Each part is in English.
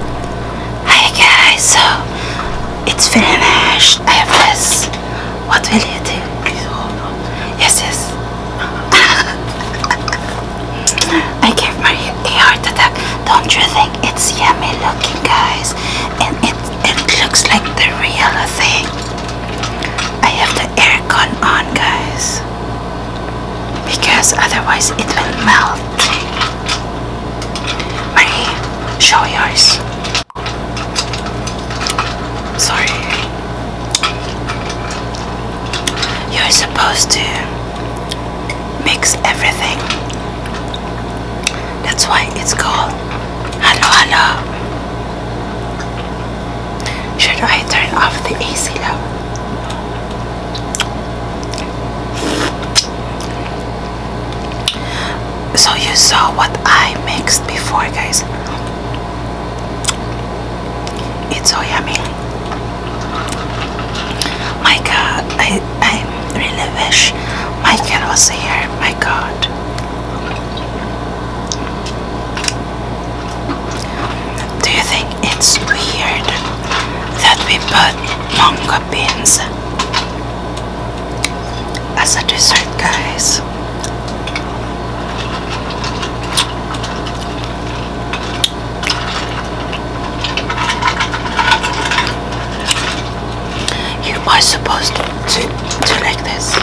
Hi guys, so it's finished. I have this. What will you do? Yes, yes. I gave my a heart attack. Don't you think it's yummy looking, guys? And it it looks like the real thing. I have the aircon on, guys, because otherwise it will melt. My show yours. Sorry. You're supposed to mix everything. That's why it's called Hello Hello. Should I turn off the AC now? So you saw what I mixed before guys. It's so yummy. My god, I, I really wish Michael was here. My god. Do you think it's weird that we put manga beans as a dessert, guys. You are supposed to do, like this,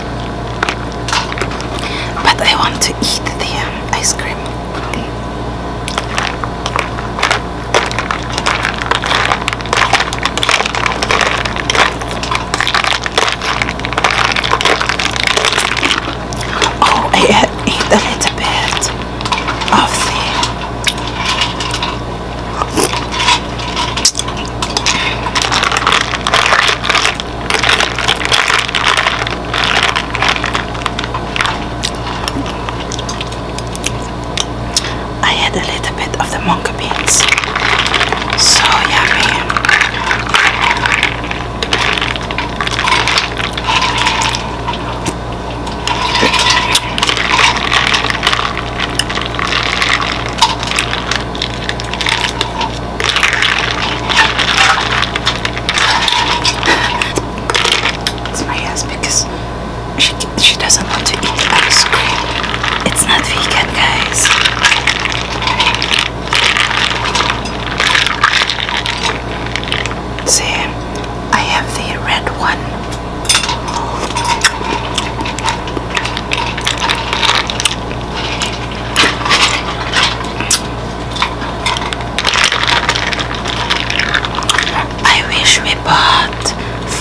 but I want to eat the um, ice cream. Oh, I had eat a little bit of the I had a little bit of the monka beans. So yummy. it's my ass because she, she doesn't want to eat ice cream. It's not vegan, guys. See, I have the red one. I wish we bought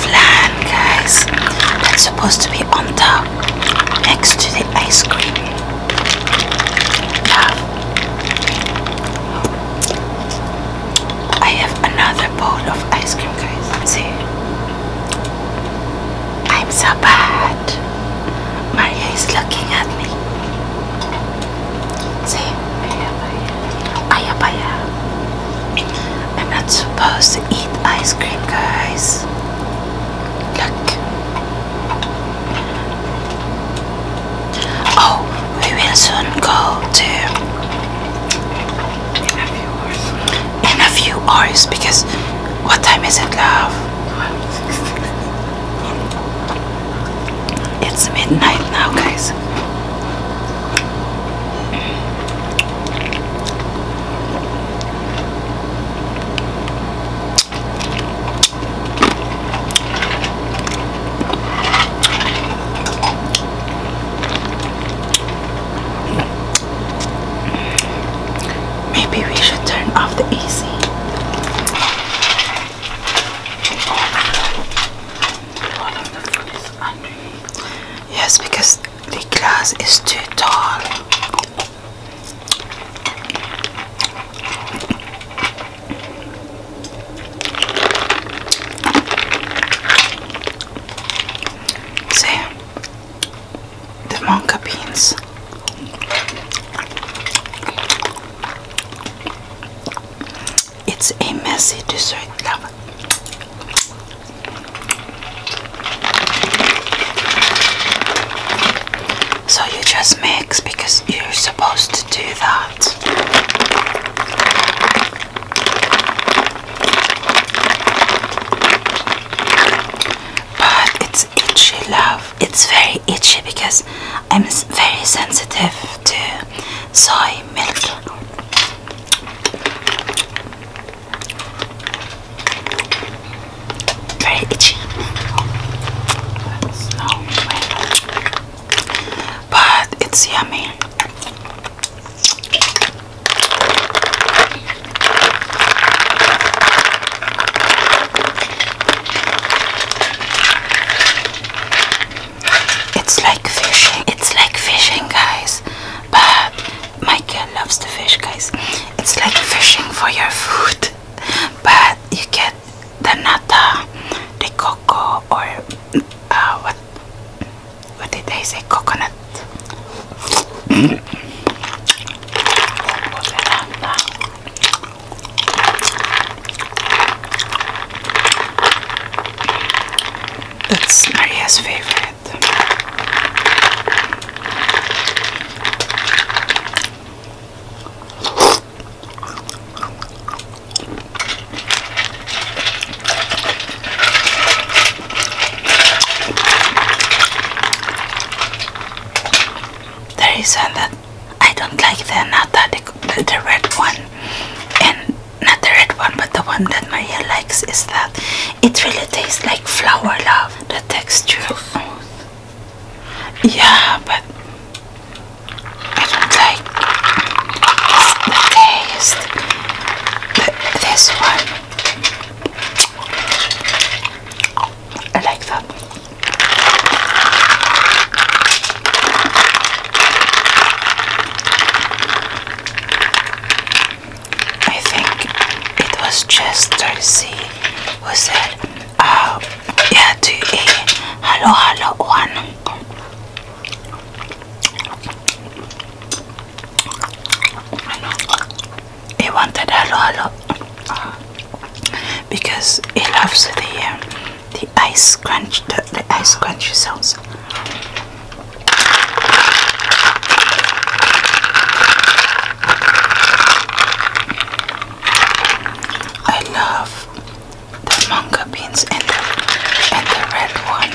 flan, guys. That's supposed to be on top, next to the ice cream. Now, I have another bowl of ice cream, guys. See, I'm so bad. Maria is looking at me. See? Aya I'm not supposed to eat ice cream, guys. Look. Oh, we will soon go to in a few hours because what time is it, love? It's midnight now, guys. Maybe we should turn off the AC. Oh all the food is Yes, because the glass is too tall. See the monka beans it's a messy dessert, love. So you just mix because you're supposed to do that. But it's itchy, love. It's very itchy because I'm very sensitive to soy milk. Very itchy. That's But it's yummy. It's like fishing. It's like fishing, guys. But my girl loves the fish, guys. It's like fishing for your food, but you get the nata, the cocoa, or uh, what? What did I say? Coconut. That's Maria's favorite. There is one that I don't like the nata, the, the red one, and not the red one but the one that Maria likes is that it really tastes like flower love the texture yeah but I don't like the taste this one I like that I think it was just Darcy who said, uh, yeah, to a hello, hello one. He wanted hello, hello uh, because he loves the. Um, the ice crunch, the, ice crunchy sounds. I love the manga beans and the, and the red one.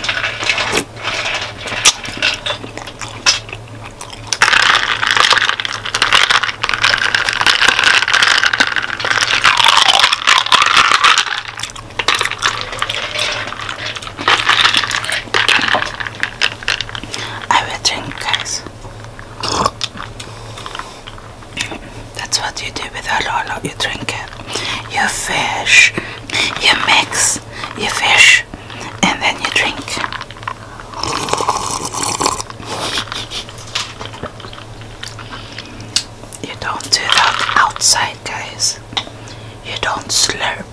I will drink, guys. That's what you do with a lolo. You drink it. You fish. You mix. You fish, and then you drink. You don't do that outside, guys. You don't slurp.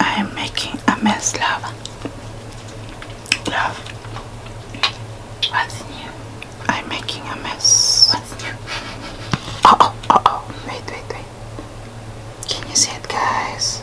I am making a mess, love. Love. What's new? I'm making a mess. What's new? Uh oh, oh. Wait, wait, wait. Can you see it, guys?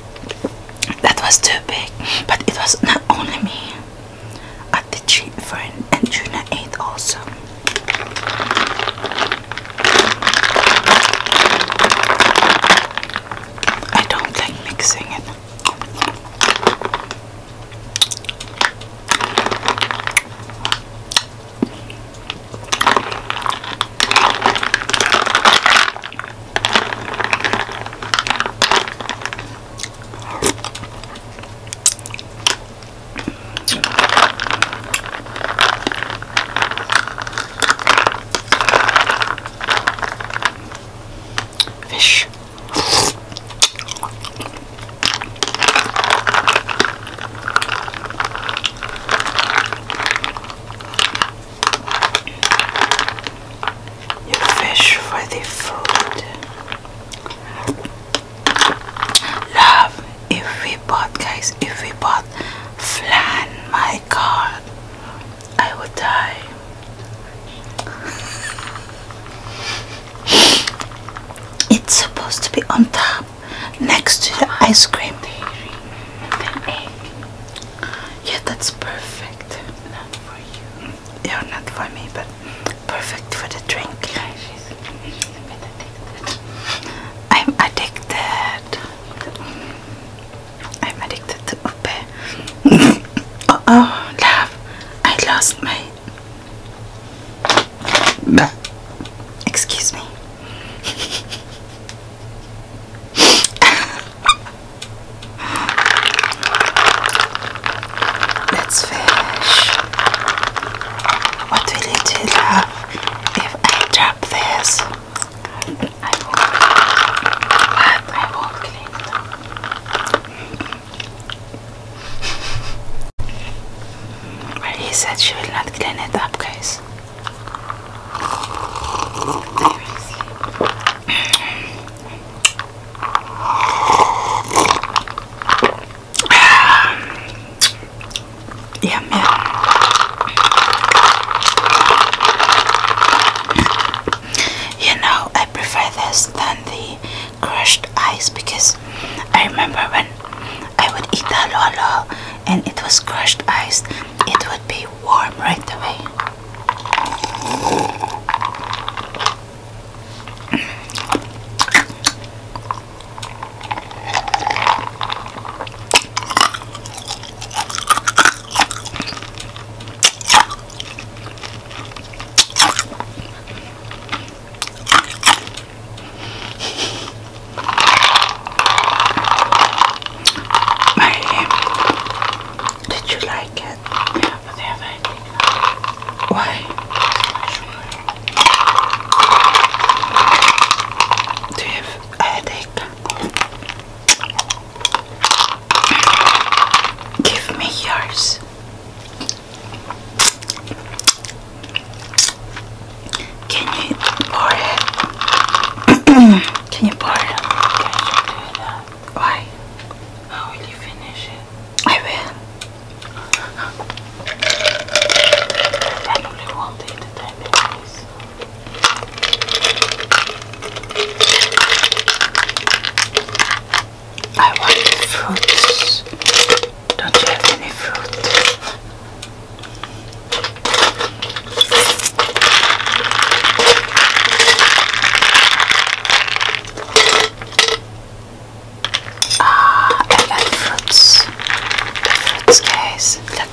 that was too big, but it was not only me, at the cheap children and Juna ate also. I don't like mixing it. Fish. You fish for the food. Love, if we bought, guys, if we bought flan, my God, I would die. It's supposed to be on top, next to the ice cream. Yeah, that's perfect. Not for you. Yeah, not for me, but perfect for the drink. she's, a bit addicted. I'm addicted. I'm addicted to Upe. oh, oh, love. I lost my. Excuse me. Let's fish. What will it do, love, if I drop this? I won't. But I won't clean them. But he said she will not clean it up, guys yeah, man. You know, I prefer this than the crushed ice because I remember when I would eat the lolo and it was crushed ice, it would be warm right away. My did you like it? Why? Do you have headache? Give me yours. Can you pour it? Can you pour it? Can you do Why? How will you finish it? I will. I only want it to time I want fruits. Don't have any fruit? Ah, I like fruits. fruits, guys. Look.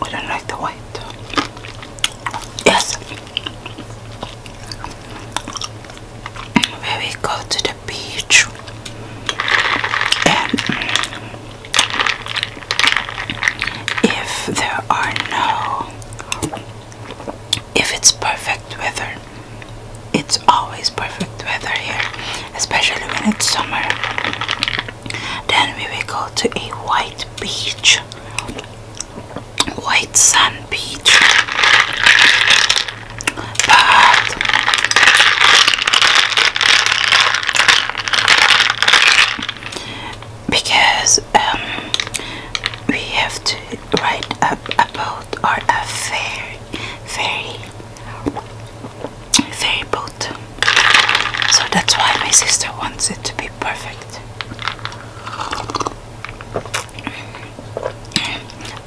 We don't like the white. Yes. we go to the beach and if there are no if it's perfect weather it's always perfect weather here especially when it's summer then we will go to a white beach, white sand beach. because um, we have to write up about our affair, ferry, ferry boat. So that's why my sister wants it to be perfect.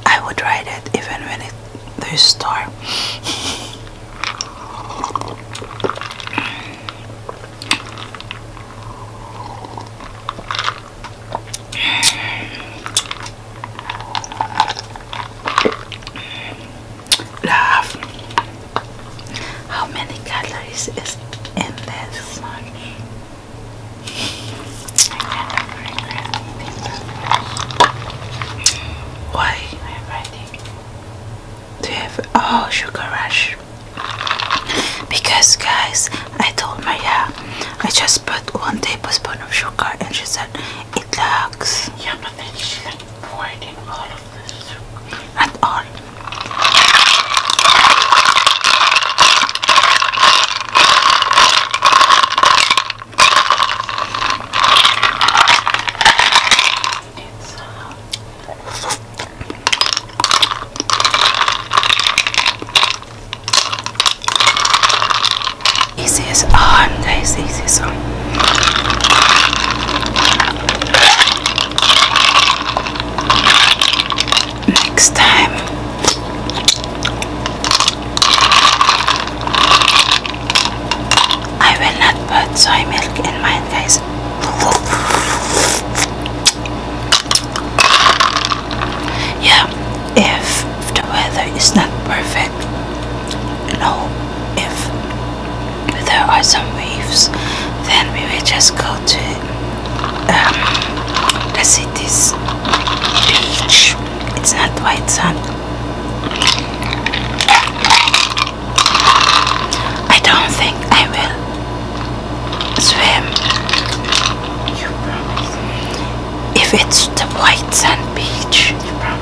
I would ride it even when it there's star love how many calories is in this one. Why? Do you have oh sugar rush? Because guys, I told Maria I just put one tablespoon of sugar and she said it lacks. Yeah, but then she poured in all of at all. It's, uh, this is on, guys. Next time, I will not put soy milk in mine, guys. Yeah, if the weather is not perfect, no, if there are some waves then we will just go to um, the city's beach it's not white sand I don't think I will swim you promise if it's the white sand beach you promise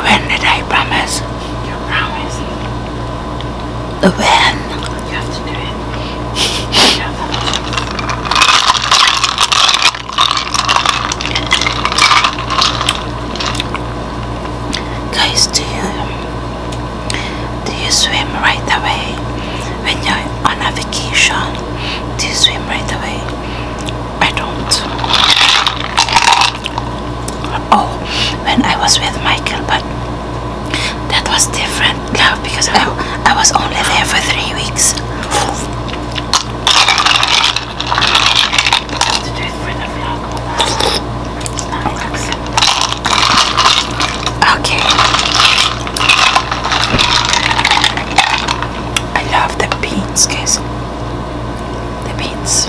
When did I promise? You promised. When? You have you have to do it. Guys, do you do you swim right away when you're on a vacation? Do you swim right away? I don't. Oh, when I was with Michael, but that was different love because I, I was only there for three weeks. Okay. I love the beans, guys the beets.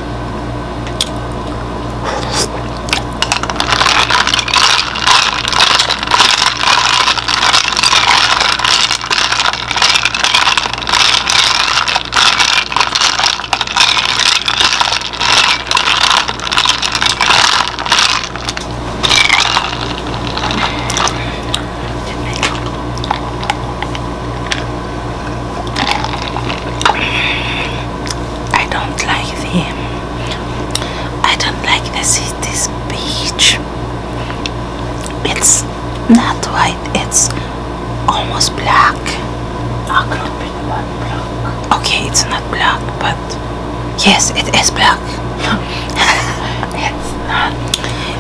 I don't like the I don't like the city's beach. It's not white, it's almost black. Okay, it's not black, but yes, it is black. it's not.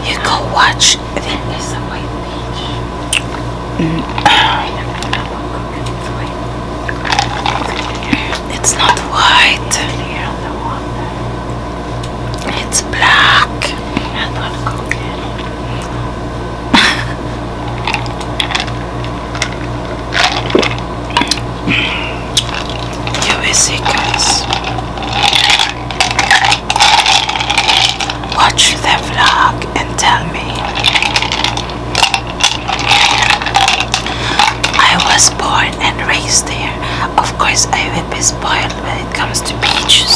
You go watch there is a white beach. Mm. It's not white. It's black. you is guys. Watch the vlog and tell me. I was born and raised there. Of course, I will be spoiled when it comes to beaches.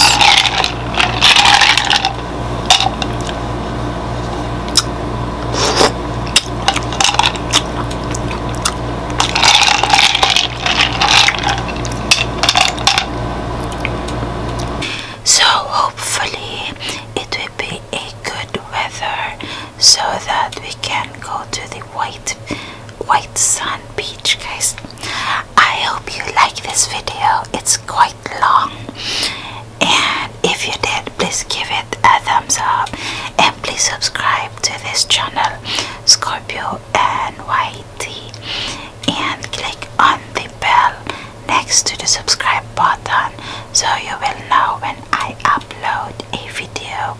So hopefully it will be a good weather so that we can go to the white white sand beach guys. I hope you like this video. It's quite long and if you did please give it a thumbs up and please subscribe to this channel Scorpio N Y T and click on the bell next to the subscribe button so you will know when I upload a video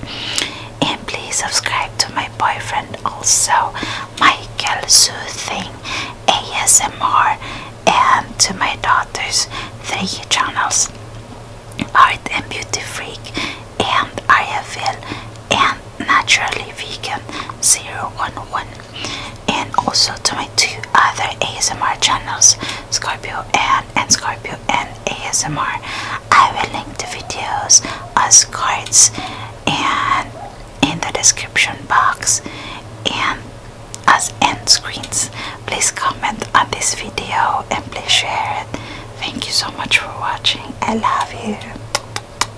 and please subscribe to my boyfriend also Michael Soothing ASMR and to my daughter's three channels Art and Beauty Freak and Ariaville and naturally vegan 011 and also to my two other ASMR channels Scorpio N and Scorpio N ASMR I will link the videos as cards and in the description box and as end screens please comment on this video and please share it thank you so much for watching I love you